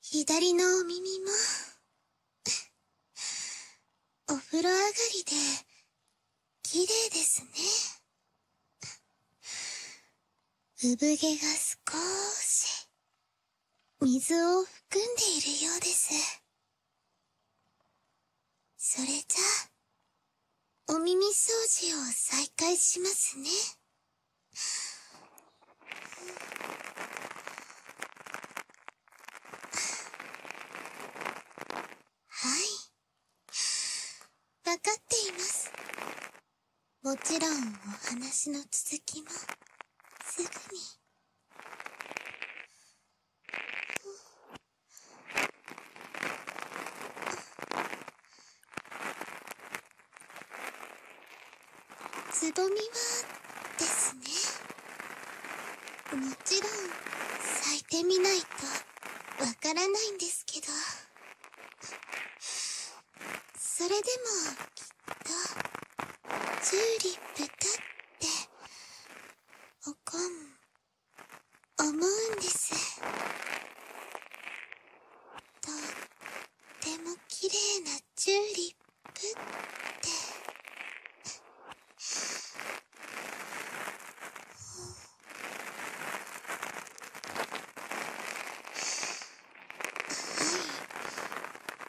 左のお耳も、お風呂上がりで、綺麗ですね。産毛が少し、水を含んでいるようです。それじゃあ、お耳掃除を再開しますね。はいわかっていますもちろんお話の続きもすぐに。つぼみはですねもちろん咲いてみないとわからないんですけどそれでもきっとチューリップだっておこん思うんですとっても綺麗なチューリップってはい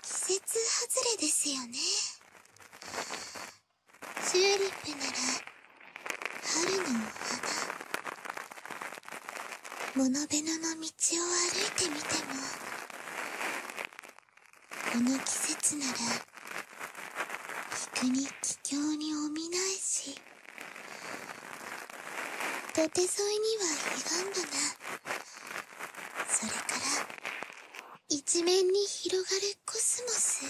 季節外れですよねチューリップなら春の花…モノベノの道を歩いてみてもこの季節なら陸に気境におみないし土手沿いには彼岸花それから一面に広がるコスモス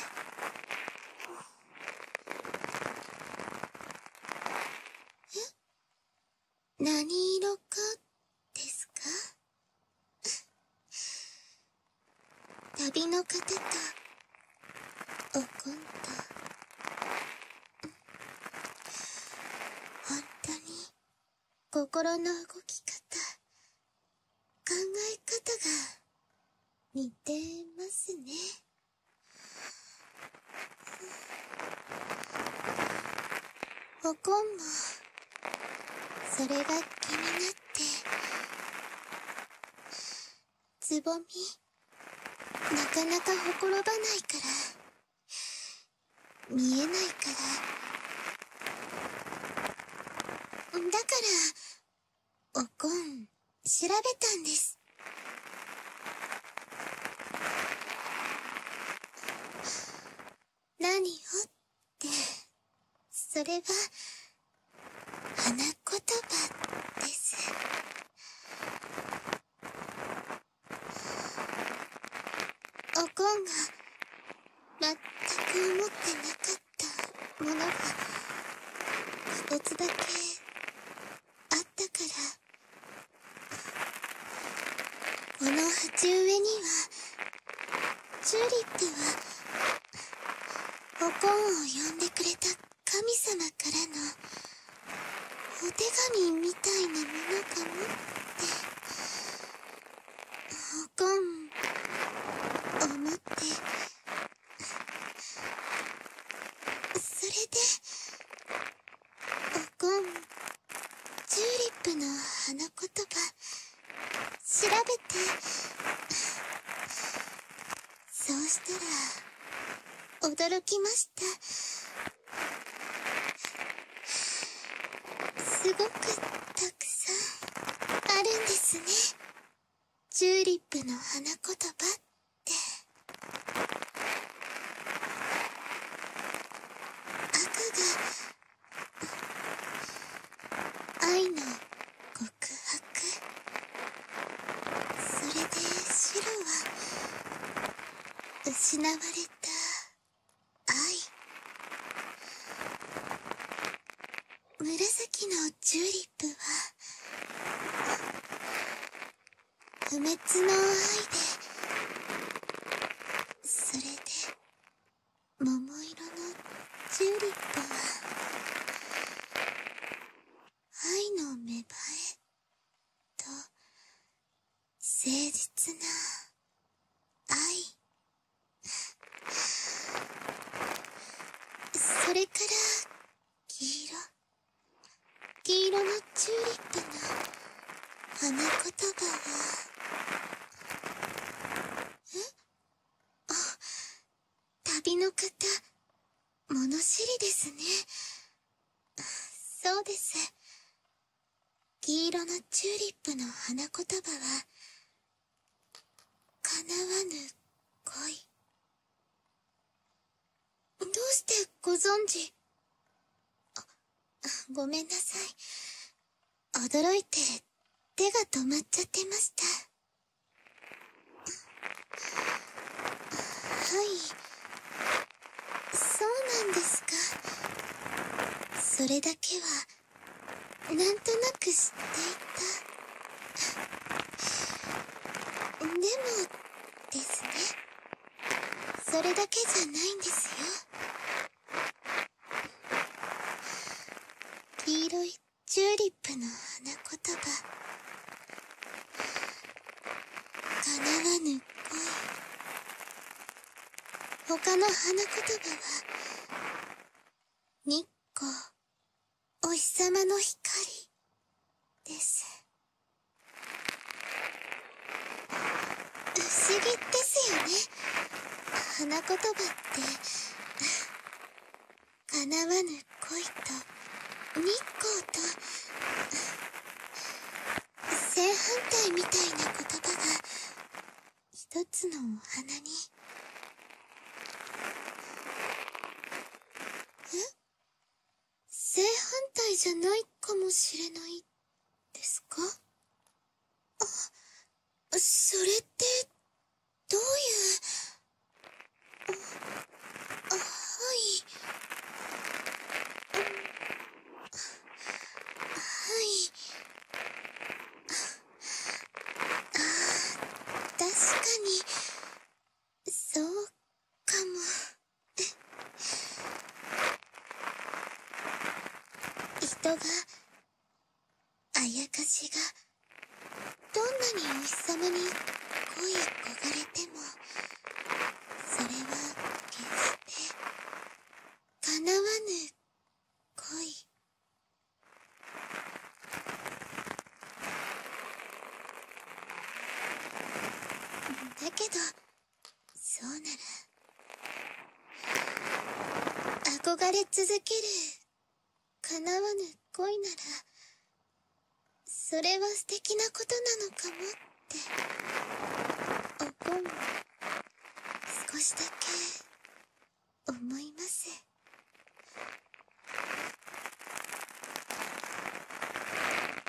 え何色かですか旅の方と、おこんた本当に心の動き方考え方が似てますねおこんもそれが気になってつぼみなかなかほころばないから見えないからだからおこん調べたんです何をってそれは花言葉ですおこんが全く思ってなかったものが一つだけあったからこの鉢植えにはチューリップはおこんを呼んでくれた神様からのお手紙みたいなものかもっておこん思ってそれで…おこんチューリップの花言葉調べてそうしたら驚きましたすごくたくさんあるんですねチューリップの花言葉って。赤が……愛の告白それで白は失われた愛紫のチューリップは不滅の愛でそれで桃色のチューリップは愛の芽生えと誠実な愛それから黄色黄色のチューリップの花言葉はえあ旅の方物知りですねそうです黄色のチューリップの花言葉は叶わぬ恋どうしてご存じ…あっごめんなさい。驚いて、手が止まっちゃってました。はい。そうなんですか。それだけは、なんとなく知っていた。でも、ですね。それだけじゃないんですよ黄色いチューリップの花言葉叶わぬ恋他の花言葉は日光お日様の光です不思議ですよね花言葉って叶わぬ恋と日光と正反対みたいな言葉が一つのお花にえ正反対じゃないかもしれないですかあそれってどういうあはいはいあ確かにそうかも。人があやかしがどんなにお日様に恋焦がれてもそれは決して叶わぬ恋だけどそうなら憧れ続ける叶わぬ恋ならそれは素敵なことなのかもってお思う少しだけ思います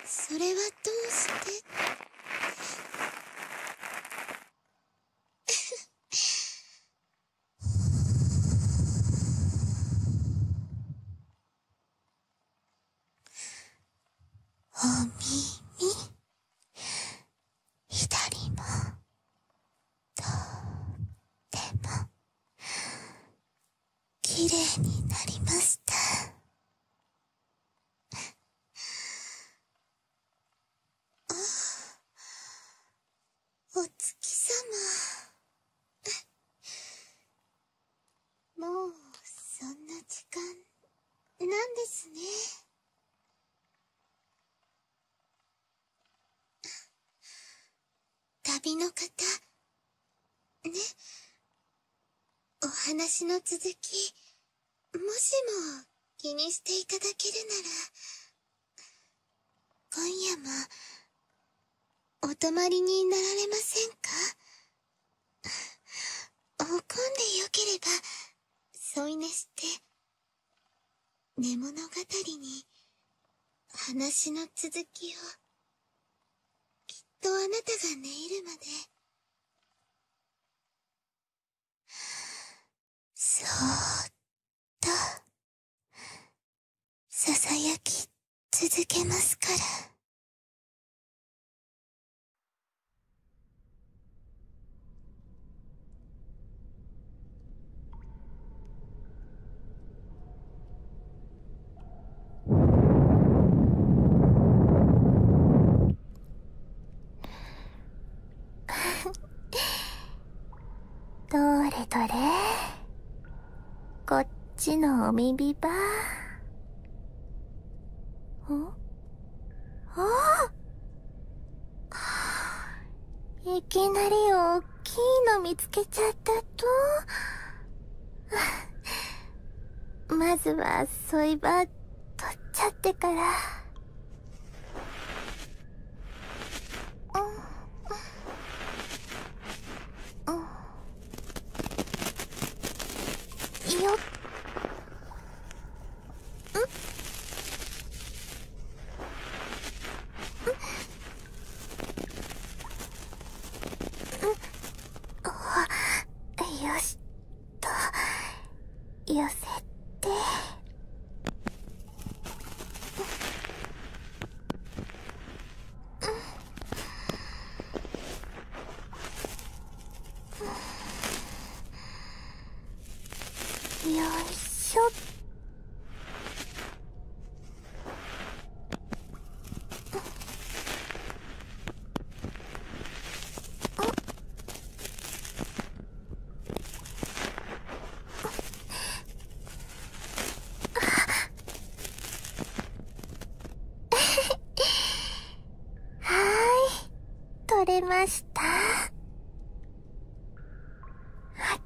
それはどうしておも……も……とって綺麗になりましたあお月様もうそんな時間なんですね旅の方ねお話の続きもしも気にしていただけるなら、今夜も、お泊まりになられませんか怒んでよければ、添い寝して、寝物語に、話の続きを、きっとあなたが寝入るまで、そーっとささやき続けますから。どれどれこっちのお耳ばんああいきなりおっきいの見つけちゃったと まずはソイバー取っちゃってから。うんうん、よっと痩せてよいしょっはい取れましたあ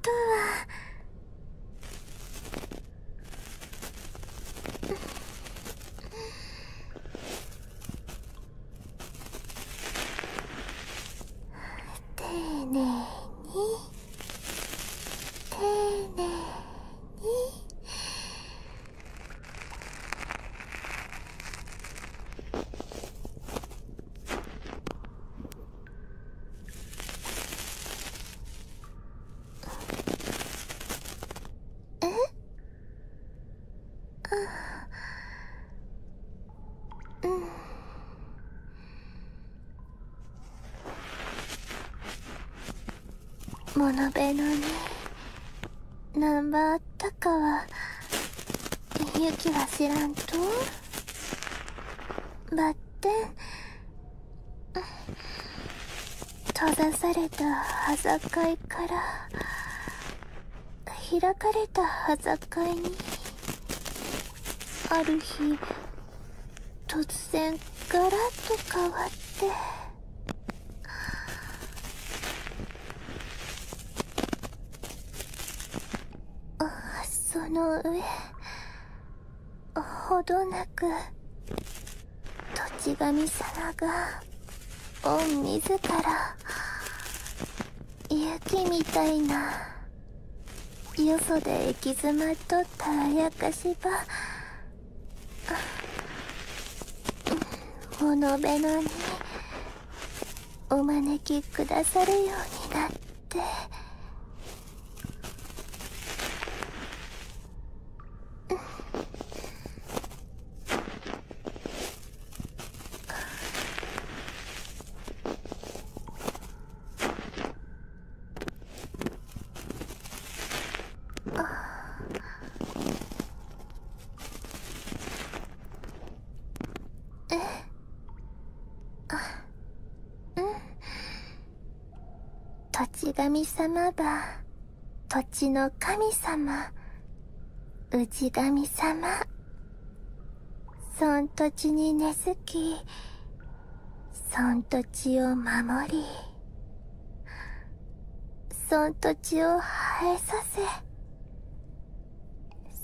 とは丁寧に丁寧にえああ。うん。物辺のねナンバーたかはゆきは知らんとばってん。閉ざされたはざかいから開かれたかいにある日突然ガラッと変わってその上ほどなく土地神様が御自ら雪みたいなよそで行き詰まっとったあやかしばほのべのにお招きくださるようになって土地神様ば土地の神様氏神様そん土地に根付き、そん土地を守り、そん土地を生えさせ、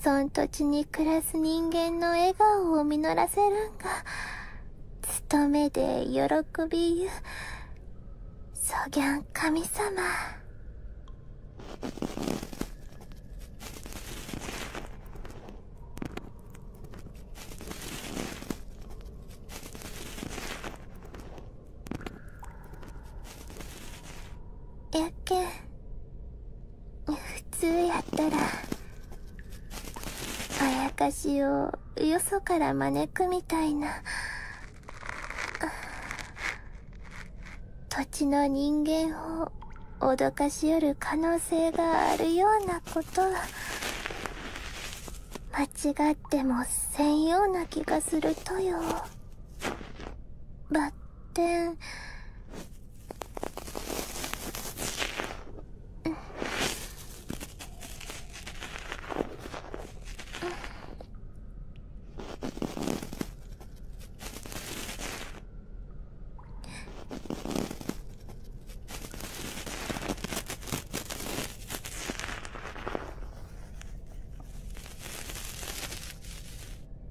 そん土地に暮らす人間の笑顔を実らせるんが、務めで喜びゆ、そぎゃん神様。やけん普通やったらあやかしをよそから招くみたいな土地の人間を脅かしよる可能性があるようなこと間違ってもせんような気がするとよバん…テン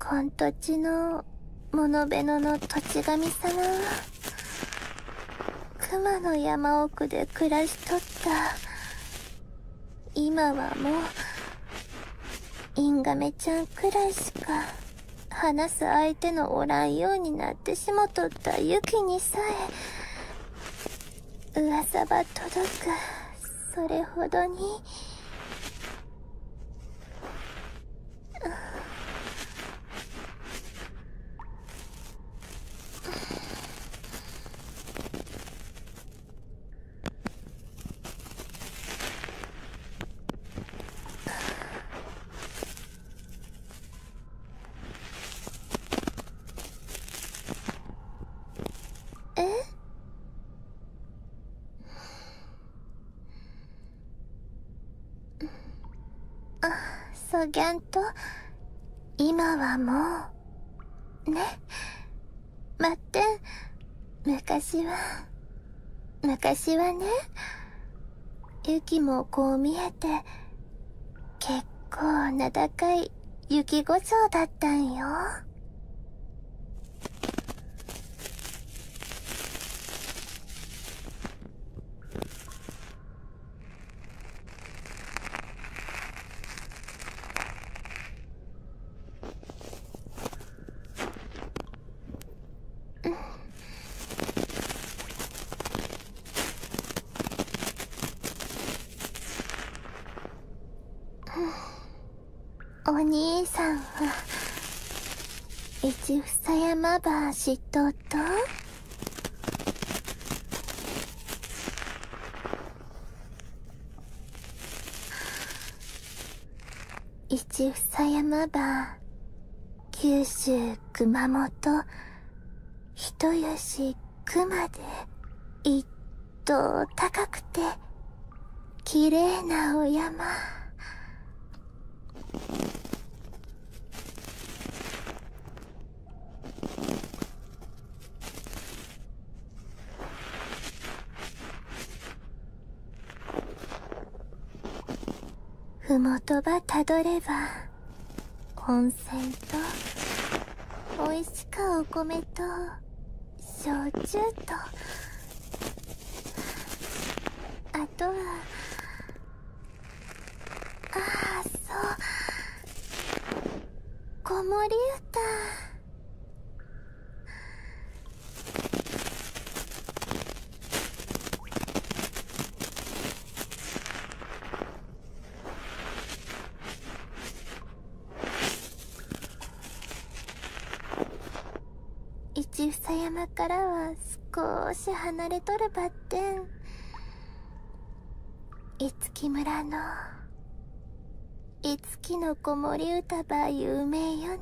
こん土地の物ノベの土地神様熊の山奥で暮らしとった今はもうインガメちゃんくらいしか話す相手のおらんようになってしもとったユキにさえ噂ば届くそれほどに。あ、そぎゃんと今はもうね待って。昔は、昔はね、ユキもこう見えて、結構名高いユキごちょうだったんよ。うん。お兄さんは一房山ばしとと一房山ば、九州熊本、人吉熊で、一等高くて、綺麗なお山。ふもとばたどれば温泉とおいしかお米と焼酎とあとはああそう子守歌一房山からは少し離れとるばってん樹村の樹の子守歌ば有名よね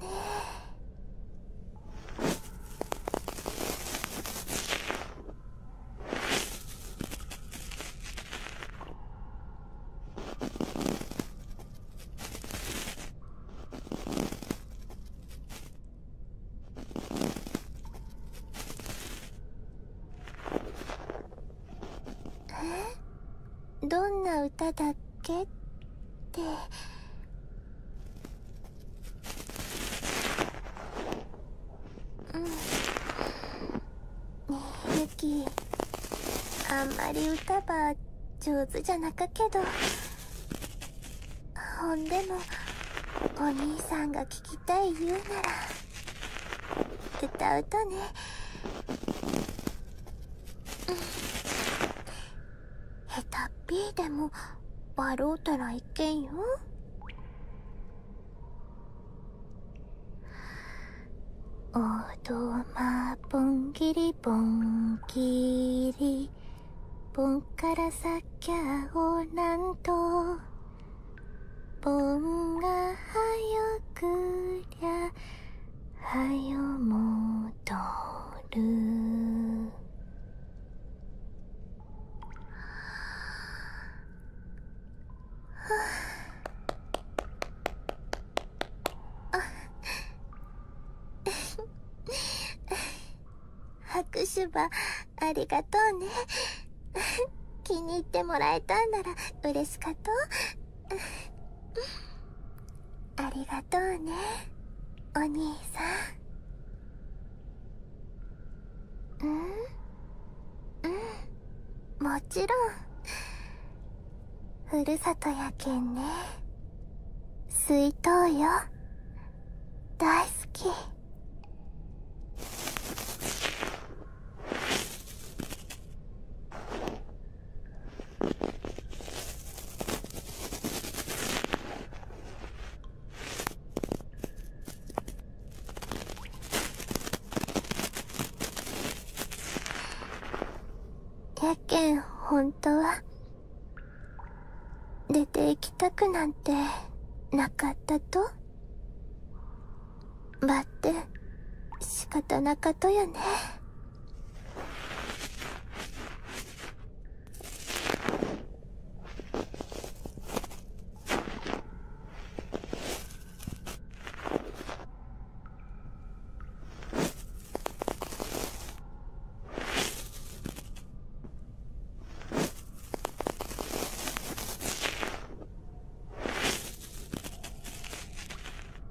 どんな歌だった？けってうんみゆき。あんまり歌ば上手じゃなかけどほんでもお兄さんが聞きたい言うなら歌うとねうん。下手っぴーでも笑うたらいけんよおどまぼんぎりぼんぎりぼんからさきゃおなんとぼんがはよくりゃはよもとるはあ。はああ。りがとうね気に入ってもらえたんなら嬉しかとありがとうねお兄さんうんうんもちろんふるさとやけんねすいとうよ大好きやけん本当は出て行きたくなんてなかったとばって仕方なかとやね。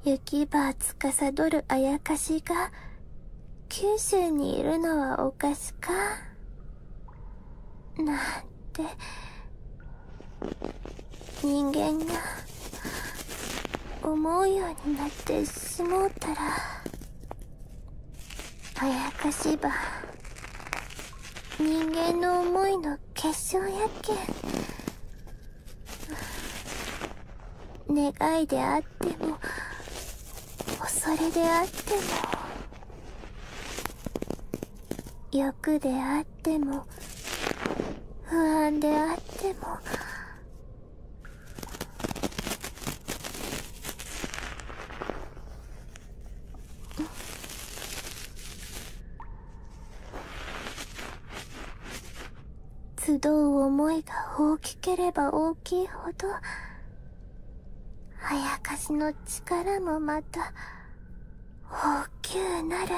雪ばつかさどるあやかしが九州にいるのはおかしかなんて人間が思うようになってしもうたらあやかしば人間の思いの結晶やけん願いであっっも恐れであっても欲であっても不安であっても集う思いが大ききければ大きいほど、あやかしの力もまた、大きゅうなる。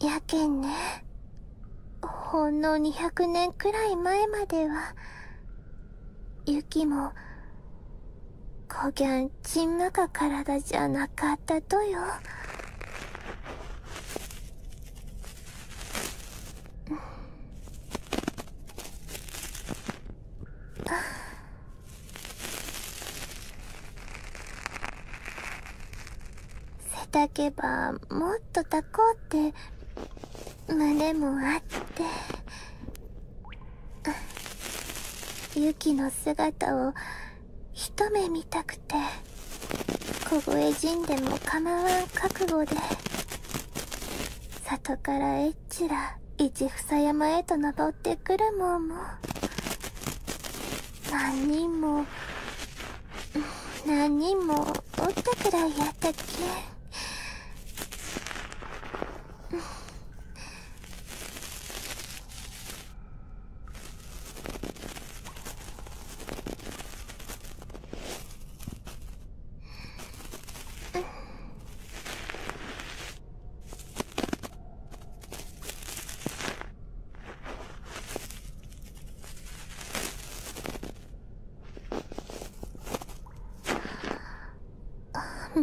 やけんね。ほんの200年くらい前までは雪もこぎゃんちんまか体じゃなかったとよあ。せたけばもっとたこうって胸もあってユキの姿を一目見たくて小声死んでもまわん覚悟で里からエッチら一房山へと登ってくるもんも何人も何人もおったくらいやったっけ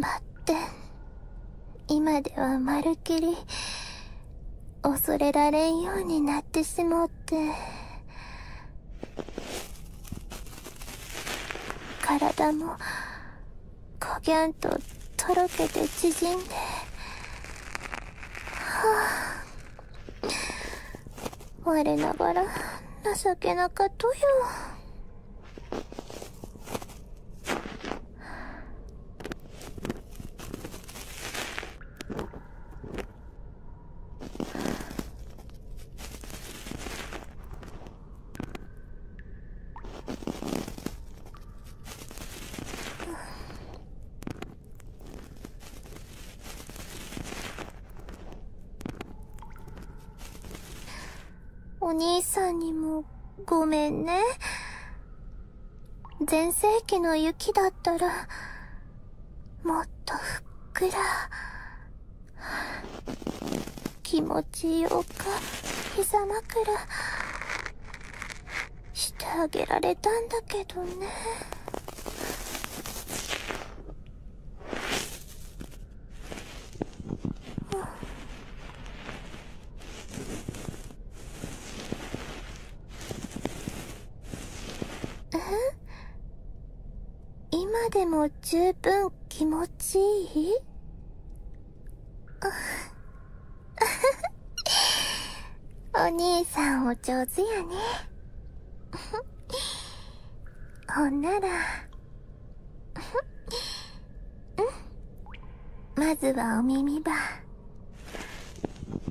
バッテン今ではまるきり恐れられんようになってしもって体もこぎゃんととろけて縮んではあ我ながら情けなかったよ。お兄さんにもごめんね。前世紀の雪だったら、もっとふっくら、気持ちよく、膝枕、してあげられれんけどね。今でも十分気持ちいい お兄さんお上手やね。ほんならまずはお耳ば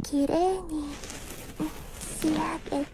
きれいに仕上げて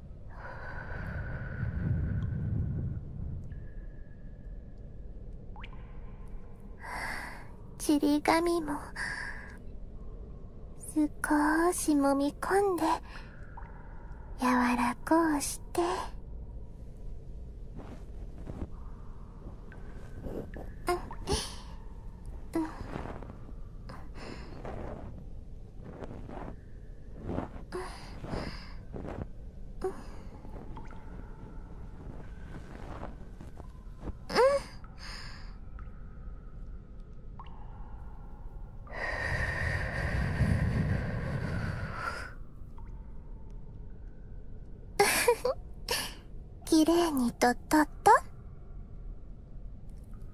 はちり紙もす少しもみ込んで柔らこうしてうんうんううん。ん。きれいにとっとっと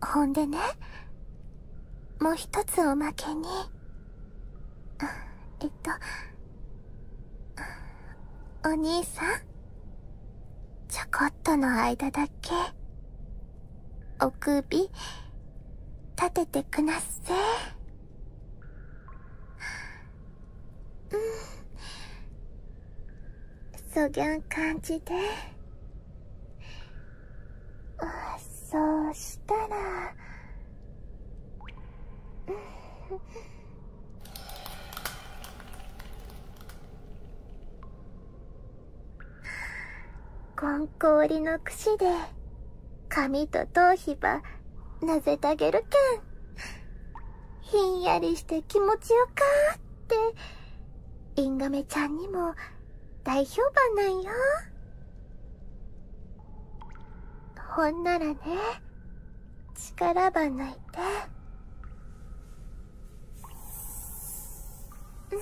ほんでねもう一つおまけにえっとお兄さんちょこっとの間だけお首立ててくなっせうんそぎゃん感じでそうしたら こんこおりのくしで髪と頭皮ばなぜたげるけんひんやりして気持ちよかってインガメちゃんにも大評判なんよほんならね力ば抜いてうん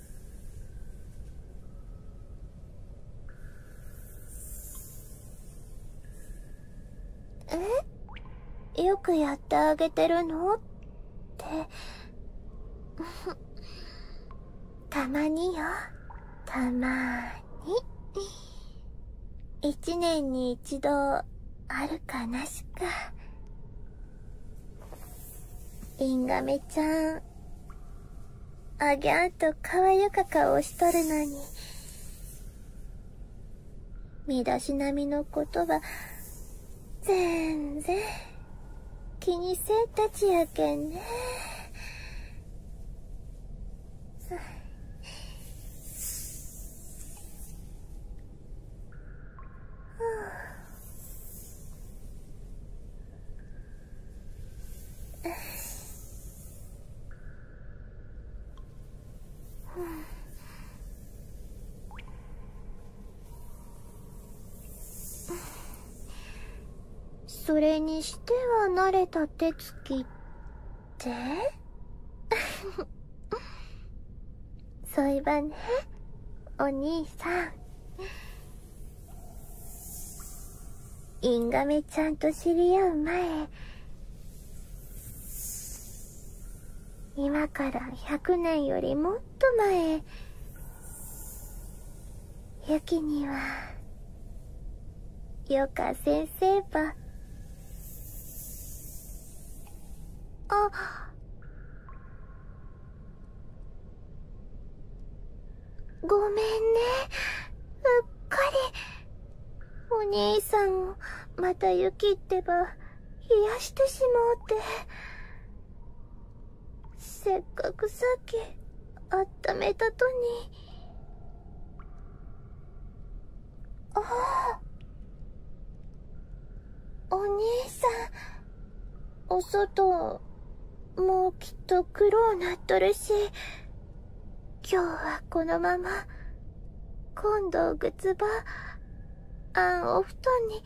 えっよくやってあげてるのって たまによたまに一年に一度あるかなしかリンガメちゃんあげんとかわゆか顔しとるのに。身だしなみのことは、ぜんぜん、気にせえたちやけんね。それにしては慣れた手つきって そういえばねお兄さんインガメちゃんと知り合う前今から100年よりもっと前ユキにはヨカ先生ばあごめんねうっかりお兄さんをまた雪ってば冷やしてしもうてせっかくさっきあっためたとにああお兄さんお外、もうきっと黒うなっとるし、今日はこのまま、今度ぐつば、あんお布団に、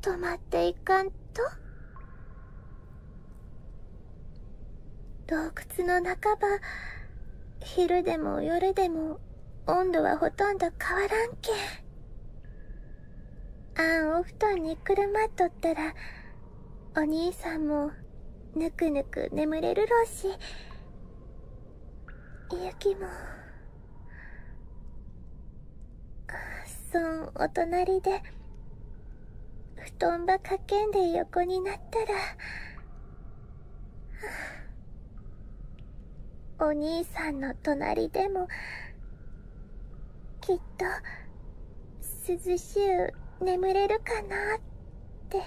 泊まっていかんと。洞窟の半ば、昼でも夜でも温度はほとんど変わらんけん。あんお布団にくるまっとたらお兄さんもぬくぬく眠れるろうしゆきもそんお隣で布団ばかけんで横になったらお兄さんの隣でもきっと涼しゅう眠れるかなって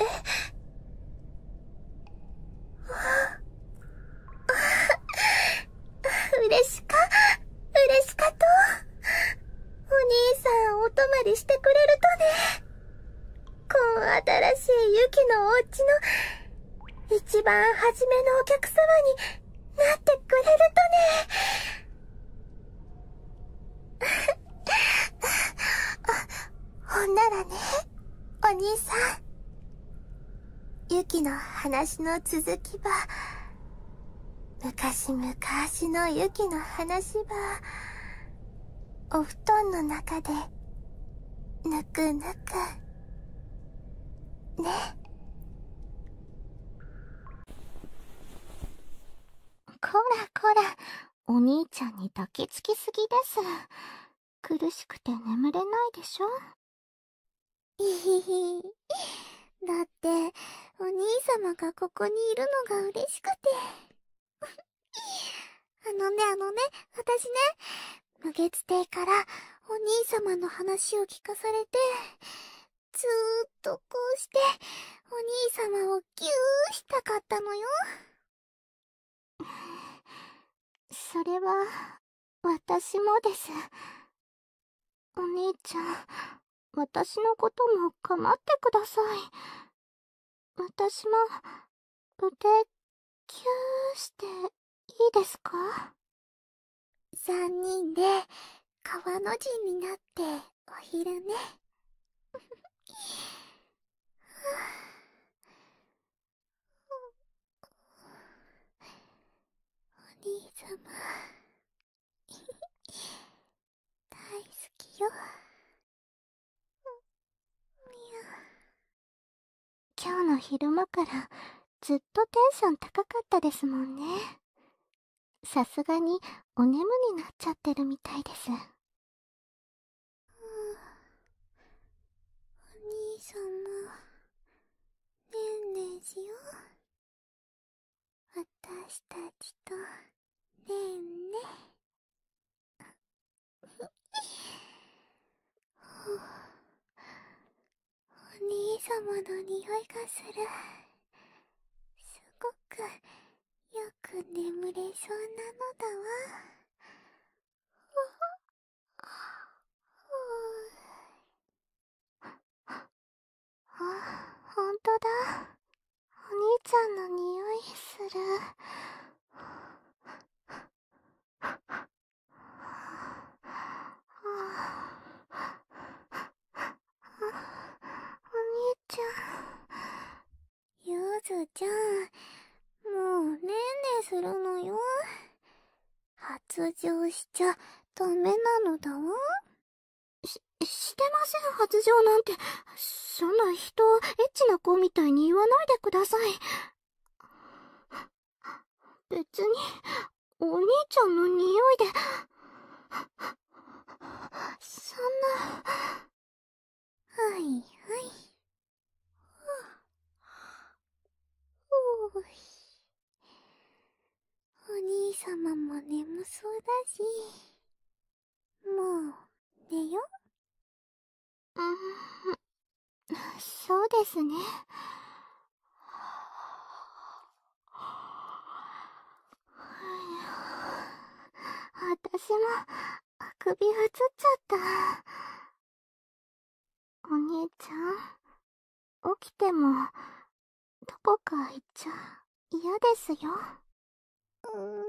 えっ嬉しか嬉しかとお兄さんお泊まりしてくれるとねこん新しいユキのお家の一番初めのお客様になってくれるとね。ほんならね、お兄さん。ユキの話の続きば、昔々のユキの話ば、お布団の中で、ぬくぬく。ねこらこらお兄ちゃんに抱きつきすぎです苦しくて眠れないでしょいひひだってお兄様がここにいるのが嬉しくてふっあのね、あのね、私ね、無月亭からお兄様の話を聞かされて、ずーっとこうして、お兄様をぎゅーしたかったのよ。それは、私もです。お兄ちゃん、私のことも構ってください。私も、腕、キューしていいですか三人で、川の字になって、お昼寝。お兄様大好きよ。みゃ。今日の昼間からずっとテンション高かったですもんねさすがにお眠になっちゃってるみたいですお兄様ねんねしよ私たちとねんねお兄様の匂いがする。すごくよく眠れそうなのだわ。あ、ほんとだ。お兄ちゃんの匂いする。ははお兄ちゃん。ゆずちゃん、もうねんねするのよ。発情しちゃダメなのだわ。し、してません、発情なんて。そんな人、エッチな子みたいに言わないでください。別に、お兄ちゃんの匂いで、そんな、はいはい。おい。お兄様も眠そうだし、もう、寝よ。うん、そうですね。私も、あくびがつっちゃった。お兄ちゃん、起きても、どこか行っちゃ嫌ですよ。うーん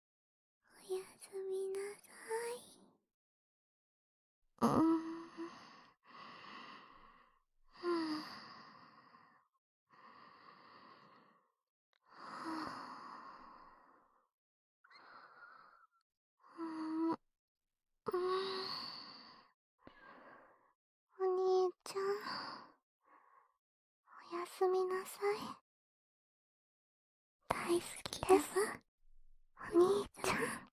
おやすみなさい。お兄ちゃん。おやすみなさい。大好きですお兄ちゃん